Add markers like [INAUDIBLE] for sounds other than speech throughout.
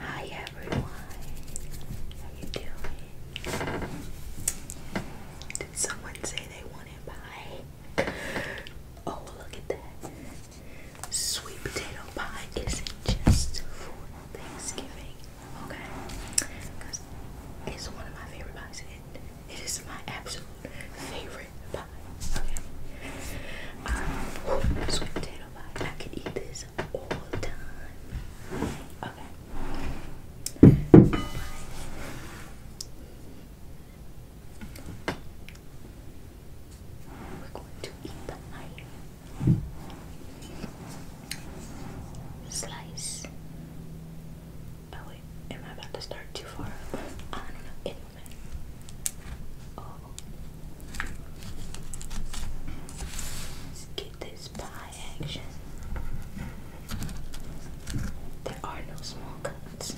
Hi everyone, how you doing? Did someone say they wanted pie? Oh look at that. Sweet potato pie isn't just for Thanksgiving, okay? Because it's one of my favorite pies it is my absolute favorite pie. Okay. Um, sweet potato pie. I could eat this all time. Okay. we're going to eat the pie. Slice. Oh, am I about to start too far up? Oh. Let's get this pie action. There are no small cuts.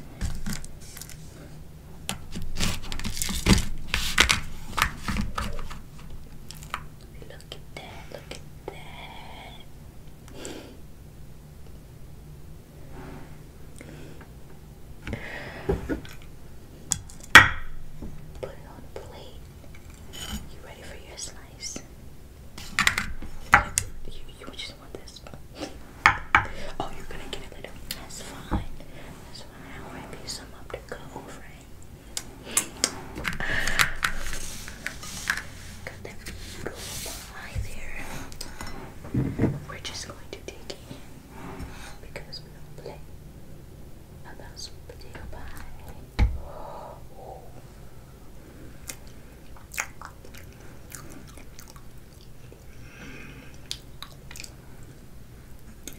Look at that, look at that. Put it on plate. You ready for your slice? You, you just want this. Oh, you're gonna get it later. That's fine. That's fine. I'll wrap you some up to go over it. Got that beautiful Hi there. We're just going to take in because we don't play about some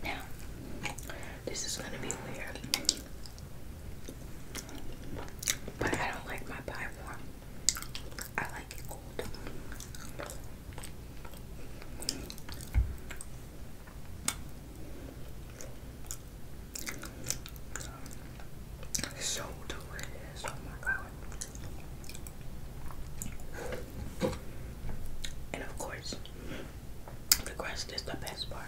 Now, this is going to be weird. But I don't like my pie warm. I like it cold. So delicious. Oh and of course, the crust is the best part.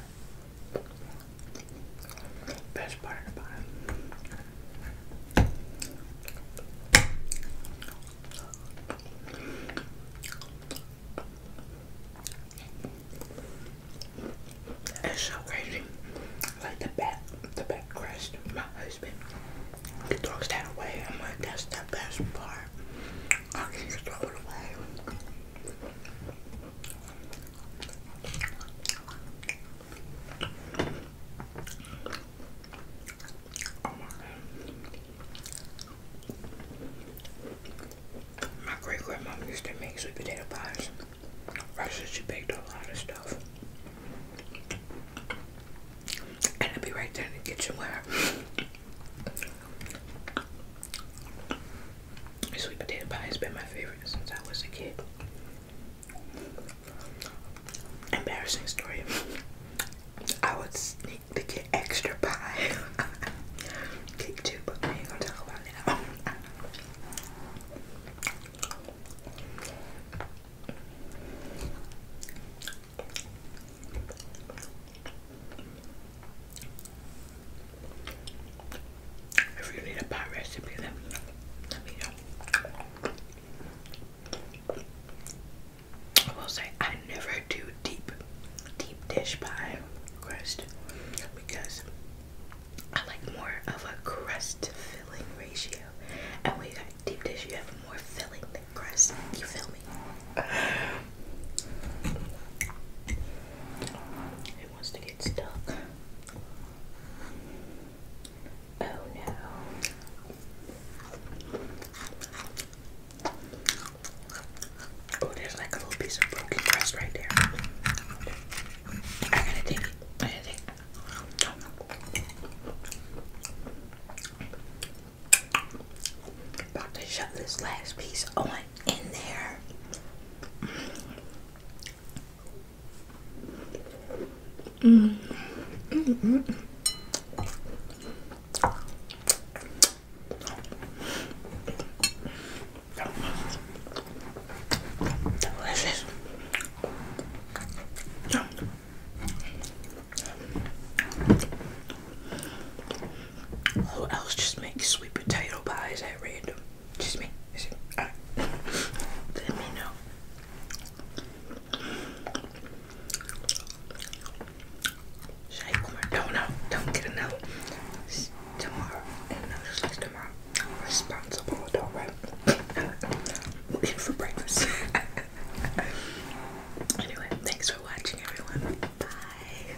Best part of the It's so crazy. Like the back, the back crest. My husband he throws that away. I'm like, that's the best part. I can just throw it Oh my. great grandma used to make sweet potato pies. Right, so she baked a lot of stuff. And it'd be right there in the kitchen where Sweet potato pie has been my favorite since I was a kid. Embarrassing story. I would sneak to get extra pie. Cake [LAUGHS] too, but we ain't gonna talk about it if you need a pie recipe, then let me know. I will say I never do deep, deep dish pie crust because I like more of a crust to filling ratio. And when you got deep dish, you have more filling than crust. You feel me? [LAUGHS] get stuck. Oh no. Oh, there's like a little piece of broken glass right there. I gotta take it. I gotta take About to shove this last piece on in there. Mm. Who else just makes sweet potato pies at random? Just me. Let me know. Don't know. Don't get another. tomorrow. just like tomorrow. i responsible adult, right? I'm for breakfast. [LAUGHS] anyway, thanks for watching, everyone. Bye.